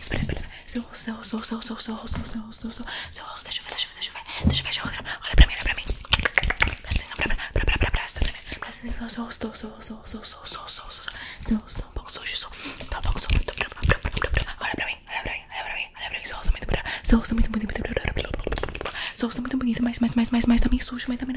Espera, espera. Seu rosto, seu rosto, seu rosto, seu rosto, seu rosto, seu rosto, seu rosto. Deixa eu ver, deixa eu ver, deixa eu ver. Deixa eu ver a outra. Olha pra mim, olha pra mim. Presta atenção, pra, pra, pra, pra, presta atenção. Presta atenção, seu rosto, seu rosto, seu rosto, seu rosto. Seu rosto, tá um pouco sujo, seu. Tá um pouco sujo. Olha pra mim, olha pra mim, olha pra mim, olha pra mim. Seu rosto é muito bonito. Seu rosto é muito bonito. Seu rosto é muito bonito, mas, mas, mas, mas também sujo, mas também,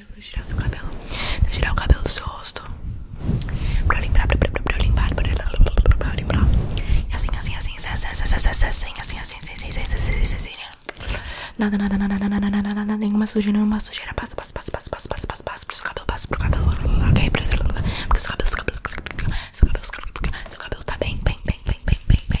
cabelo, girar o seu cabelo Vou girar o cabelo do seu rosto Pra limpar, pra, pra, pra, pra limpar Pra limpar E assim, assim, assim, assim, assim, assim, assim, assim, assim, assim, assim, assim, assim Nada, nada, nada, nada, nada, nada, nada Nenhuma sujeira, nenhuma sujeira Passa, passa, passa, passa, passa, passa, passa, passa Pro seu cabelo, passa pro cabelo Ok, pro seu cabelo Porque seu cabelo, seu cabelo, seu cabelo Seu cabelo, seu cabelo tá bem, bem, bem, bem, bem, bem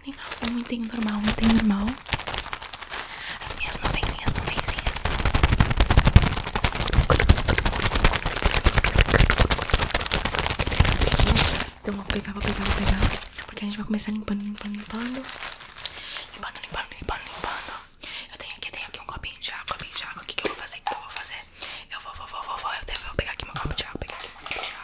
tem, tem um item normal, um item normal. As minhas nuvenzinhas, nuvenzinhas. Então vou pegar, vou pegar, vou pegar. Porque a gente vai começar limpando, limpando, limpando. Limpando, limpando, limpando, limpando. Eu tenho aqui, tenho aqui um copinho de água, copinho de água. O que, que eu vou fazer? O que eu vou fazer? Eu vou, vou, vou, vou, vou. Eu, tenho, eu vou pegar aqui um copo de água, pegar aqui meu copo de água.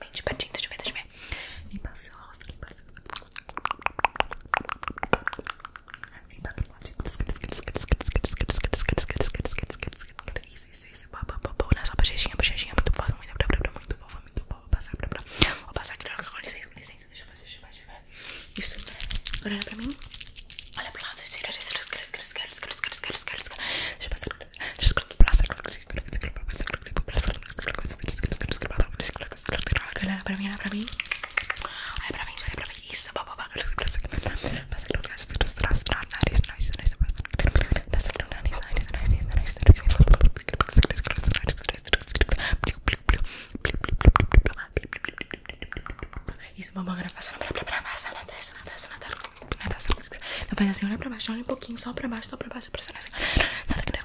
bem de pertinho, deixa eu ver, deixa eu ver. Limpa seu rosto, limpa seu Limpa do lado. Isso, isso, isso. Pá, pá, pá, pá. Olha só a bochechinha, a bochechinha. Muito fofa, muito fofa, muito fofa, muito fofa. Vou passar, pra, pra. vou passar. Com licença, com licença. Deixa eu fazer, deixa eu fazer. Isso, agora olha pra mim. Olha pro lado. Deixa eu passar. Deixa eu passar. Deixa eu passar. Galera, pra mim, olha pra mim. Olha pra mim, olha pra mim. Isso, bababá. Isso, mamãe, agora passa na, pra, pra, pra, passa na testa, na testa, na testa, na testa. Então faz assim, olha pra baixo, olha um pouquinho, só pra baixo, só pra baixo, pressiona assim. Nada que não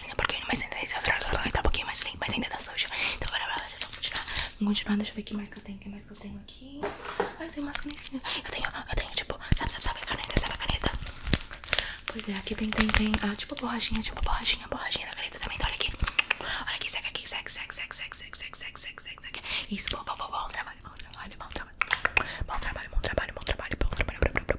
Assim, porque ainda mais linda, tá, tá um pouquinho mais linda, mas ainda tá suja. Então bora, bora, vamos continuar. Vamos continuar, deixa eu ver o que mais que eu tenho, o que mais que eu tenho aqui. Ai, tem mais canetinha. Eu tenho, eu tenho, tipo, sabe, sabe, sabe, caneta, sabe a caneta? Pois é, aqui tem, tem, tem, ah, tipo borrachinha, tipo borrachinha, borrachinha da caneta também, então olha aqui. Olha aqui, segue aqui, segue, segue, segue, segue, segue, segue, segue, Isso, bom, bom, bom, Bom trabalho, bom trabalho, bom trabalho, bom trabalho, bom trabalho, bom trabalho.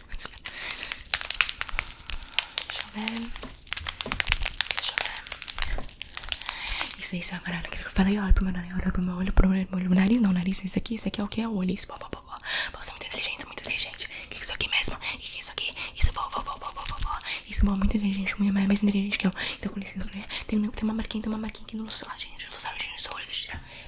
Deixa eu ver. Deixa eu ver. Isso, isso é agora aquilo que eu falei. Olha pro meu nariz, olha pro meu olho, o meu olho. Nariz não, nariz. Isso aqui, isso aqui é o que? É o olho. Isso, pô, pô, pô, Você é muito inteligente, muito inteligente. O que é isso aqui mesmo? O que é isso aqui? Isso, pô, pô, pô, pô, pô, pô. Isso, pô, muito inteligente. Muito mais inteligente que eu. Então, com licença, com né? licença. Tem, uma marquinha, tem uma marquinha aqui no sol, gente. No sol, gente, no sol, deixa eu tirar.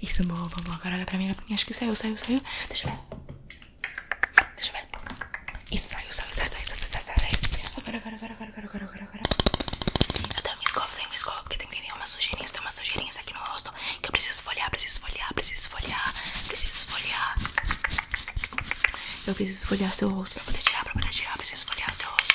Isso, é boa, boa, agora olha pra mim, acho que saiu, saiu, saiu, deixa eu ver, deixa eu ver, isso, saiu, saiu, saiu, saiu, saiu, saiu, agora, agora, agora, agora, agora, agora, agora, eu tenho uma escova, tenho uma escova, porque tem, tem, tem umas sujeirinhas, tem umas sujeirinhas aqui no rosto, que eu preciso folhear, preciso folhear, preciso folhear, preciso folhear, eu preciso esfoliar seu rosto para poder tirar, para poder tirar, preciso esfoliar seu rosto.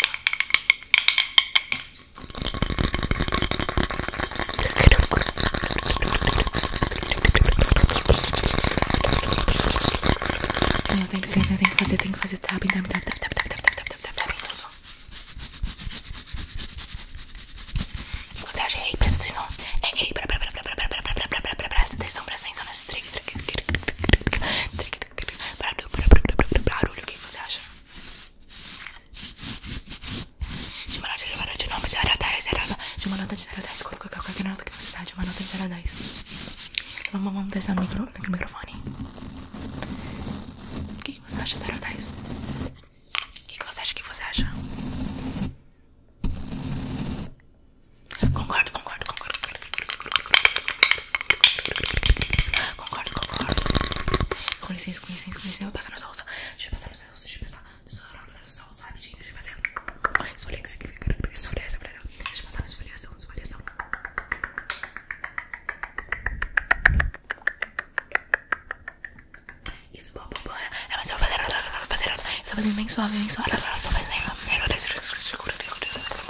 Eu tenho, eu tenho, tenho que fazer, tenho que fazer tapping, tapping, tapping, tapping, tapping, tapping, tapping, tapping, tapping, O que você acha? Ei, presta atenção. Ei, ei, presta atenção, presta atenção, presta atenção nesse Barulho, o que você acha? De uma nota de 0 a 10, de uma nota de 0 a 10, qual é a nota que você dá? De uma nota de 0 a 10 Vamos, vamos testar no, micro, no microfone O que, que você acha de 0 a 10? O que, que você acha que você acha? Concordo, concordo, concordo. Concordo, concordo. Com licença, com licença, com licença. Eu vou passar na sua rosa. Deixa eu passar na sua rosa. Deixa eu passar na sua rosa rapidinho. Deixa eu fazer. Esfoliar, esfoliar. Deixa eu passar na esfoliação, esfoliação. Isso, bom, bom, bom. É, mas eu vou fazer. Eu vou fazer. Eu vou fazer bem suave, bem suave. Eu vou fazer. Eu vou fazer.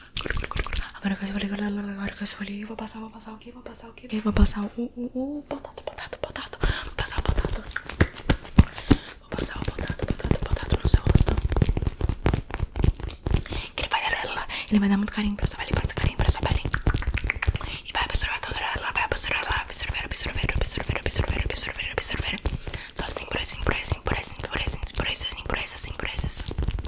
Agora que eu escolhi, agora que eu escolhi, vou passar, vou passar o que? Vou passar o que? Vou passar o, o, o, o potato, potato, potato. Vou passar o potato. Vou passar o potato, potato, potato no seu rosto. ele vai dar, ela ele vai dar muito carinho pra sua pele, muito carinho pra sua pele. E vai absorver toda ela, vai vai absorver ela, absorver, absorver, absorver, absorver, absorver, absorver. Então assim, por assim, por assim, por assim, por assim, por assim, por assim, por assim, por assim. assim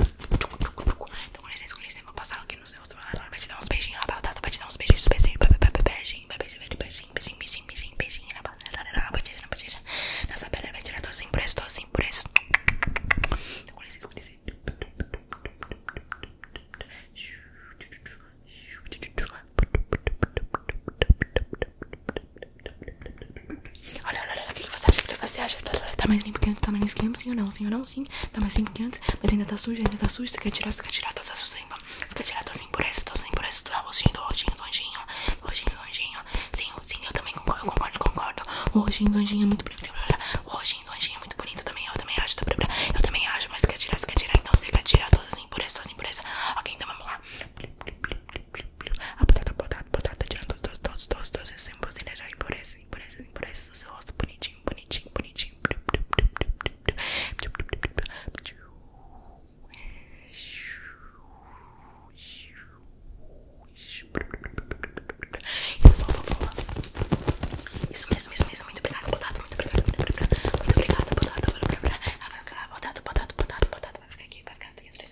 Então, com licença, com licença, vou passar aqui no seu celular. Vai te dar uns beijinhos na batata, vai te dar uns beijinhos, beijinhos, beijinho, beijinho, beijinho, beijinho, beijinho, beijinho na batata, na batata, na batata. Nessa perna vai tirar dois impressos, dois impressos. Então, com licença, com licença. Então, Olha, olha, olha, o que, você acha? que você acha? Tá, tá, tá, mais limpo que antes, tá mais limpo sim ou não? Sim ou não? Sim, tá mais limpo que antes, mas ainda tá sujo, ainda tá sujo. Você quer tirar, você quer tirar todas essas limpas? Você quer tirar todas as impurezas, todas as impurezas, do rostinho, do rostinho, do anjinho, do rostinho, do anjinho. Sim, sim, eu também concordo, eu concordo, concordo. O rostinho do anjinho é muito bonito, o rostinho do anjinho é muito bonito também, eu também acho, tá, eu também acho, mas você quer tirar, você quer tirar, então você quer tirar todas as impurezas, todas as impurezas. Ok, então vamos lá. A batata, batata, batata, tirando todos, todos, todos, todos esses símbolos de energia. Impurezas, impurezas, impurezas do seu rosto. Bonitinho, bonitinho, bonitinho. Isso, mesmo, isso mesmo. Muito obrigada, batata, muito obrigada, muito obrigada. Muito obrigada, batata, batata, batata, batata, batata, batata, batata, batata, batata, batata, batata, batata, batata, batata, batata,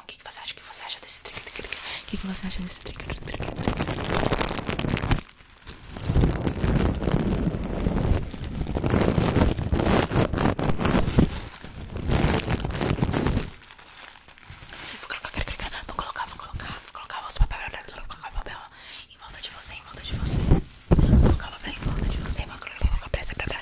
O que, você acha? O que você acha desse trigger? O que, você acha desse trigger? Vou colocar, vou colocar, vou colocar, vou colocar o papel, vou colocar o papel em volta de você, em volta de você. Vou colocar o papel em volta de você, vou colocar, vou colocar,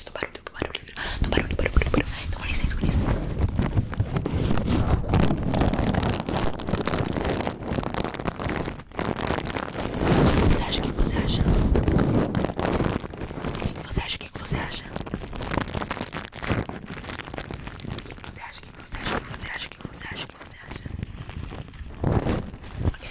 caixa do barulho, do barulho, do barulho, do barulho, do barulho. Então, com licença, com licença. Você acha o que você acha? O que você acha? O que você acha? O que você acha? O que você acha? O que você acha? O que você acha? O que você acha? Ok.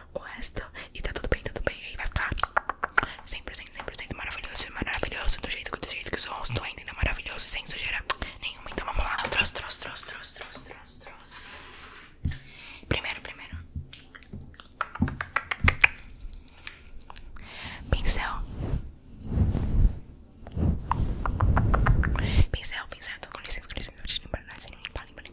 o resto e tá tudo bem, tudo bem. E aí vai ficar 100%, 100% maravilhoso, maravilhoso. Do jeito, do jeito que o seu rosto ainda é, maravilhoso, sem sujeira nenhuma. Então vamos lá. Eu trouxe, trouxe, trouxe, trouxe, trouxe, trouxe, Primeiro, primeiro. Pincel. Pincel, pincel. Tô com licença, com licença. Vou te limpar,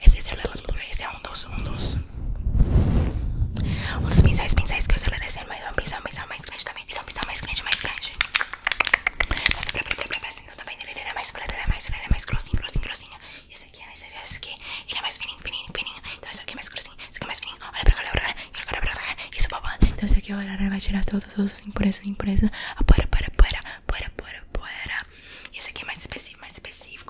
Esse, esse, el es um dos, un dos un dos pinceles pincéis que eu Mas um pincel, más mais grande também Esse é pincel más grande, mais grande Nossa, también blá, blá, tá vendo? más é mais blá, é mais, é mais grossinho, grossinho, E aqui, esse, esse aqui, ele más mais fininho, fininho, fininho Então más aqui é mais grossinho, esse aqui é mais fininho Olha aqui, vai tirar todos los impurezas, impurezas Apora, apora, apora, más E aqui é mais específico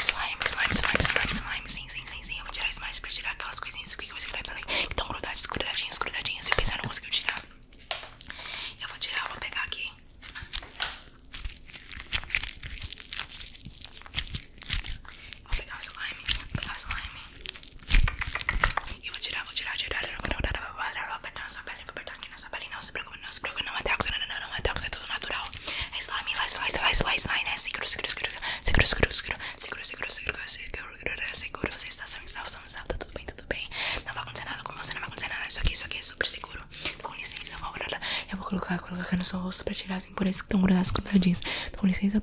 Slime, slime, slime, slime, slime. slime Sim, sim, sim, sim. Eu vou tirar o slime pra tirar aquelas coisinhas que você grava ali. Que estão grudadas, grudadinhas, grudadinhas. Eu pensei, não conseguiu tirar. Eu vou tirar, vou pegar aqui. Vou pegar o slime, vou pegar o slime. E vou tirar, vou tirar, tirar. Não, não, não, vou apertar na sua pele, vou apertar aqui na sua pele. Não se preocupe, não se preocupe. Não é tóxico, não, não, não é tóxico, é tudo natural. Seguro, seguro, seguro, seguro, seguro, seguro, seguro, seguro, você está salvo, salvo, salvo, salvo, tá tudo bem, tudo bem. Não vai acontecer nada com você, não vai acontecer nada. Isso aqui, isso aqui é super seguro. Com licença, eu vou colocar, colocar no seu rosto para tirar as impurezas que estão grudadas com jeans. Com licença.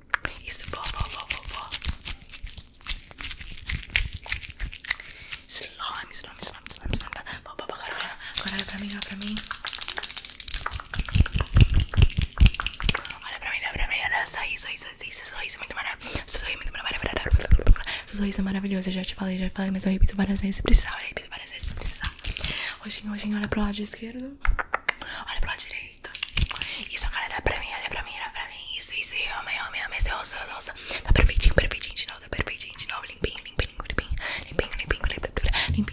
Isso, vó, vó, vó, vó, vó. Slime, slime, slime, slime, slime. Vó, vó, vó, agora olha. olha pra mim, olha pra mim. Olha pra mim, olha pra mim. Olha, sorriso, sorriso, sorriso, sorriso. Muito maravilhoso. Sorriso, muito maravilhoso. Sorriso é maravilhoso. Eu já te falei, já te falei, mas eu repito várias vezes se precisar. Eu repito várias vezes se hoje em roxinho, olha pro lado esquerdo. Olha pro lado direito perfeito. Isso, cara, dá pra mim, olha pra mim, olha pra mim. Isso, isso, homem homem homem amei, eu amei. Tá perfeitinho, perfeitinho de novo, tá perfeitinho de novo. Limpinho, limpinho, limpinho. Limpinho, limpinho, limpinho. Limpinho, limpinho limpinho limpinho limpinho limpinho limpinho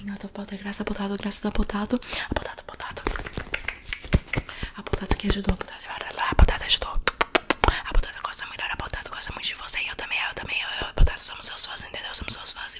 Botado, botado. A botado que ajudou, botado. A botado ajudou. A botado gosta melhor, a botado gosta muito de você. E eu também, eu também, eu, eu, botado. Somos seus fãs, entendeu? Somos seus fãs. E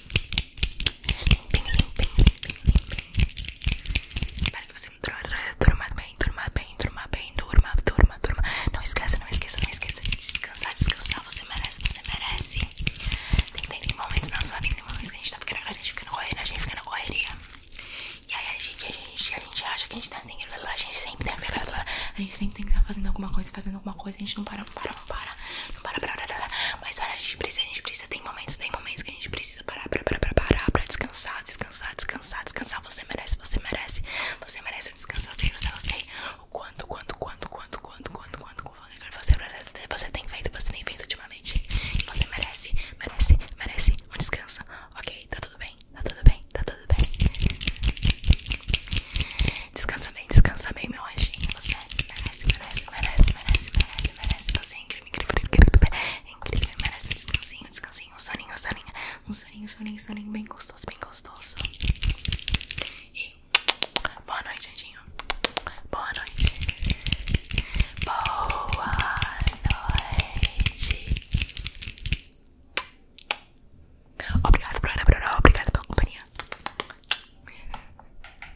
Limpinho, limpinho, limpinho, limpinho. Espero que você durma bem, durma bem, durma bem, durma, durma, durma. Não esqueça, não esqueça, não esqueça de descansar, descansar. Você merece, você merece. Tem, tem, tem momentos não sua vida, tem momentos que a gente tá ficando, a gente fica na correria, a gente fica na correria. E aí a gente, a gente, a gente acha que a gente tá sem a gente sempre tem a gente sempre tem que estar tá fazendo alguma coisa, fazendo alguma coisa, a gente não para, não para, não para, não para, para, para, para. Mas olha, a gente precisa, a gente precisa. Tem momentos, tem momentos que a gente precisa parar, para, para, para, parar, para descansar, descansar, descansar, descansar. Você merece, você merece, você merece um descanso. Eu sei, eu sei, eu sei. O quanto, quanto, quanto, quanto, quanto, quanto, quanto, quanto você, você tem feito, você tem feito ultimamente. E você merece, merece, merece um descanso. Ok, tá tudo bem, tá tudo bem, tá tudo bem. Descansa bem, descansa bem, meu anjinho. Você merece, merece, merece, merece, merece merece, merece. Você é incrível, incrível, incrível. É incrível, merece um descansinho, descansinho, um soninho, um soninho. Um soninho, soninho, soninho bem gostoso, bem gostoso. E boa noite, anjinho. Boa noite. Boa noite. Obrigado, Bruna, Bruna. Obrigado pela companhia.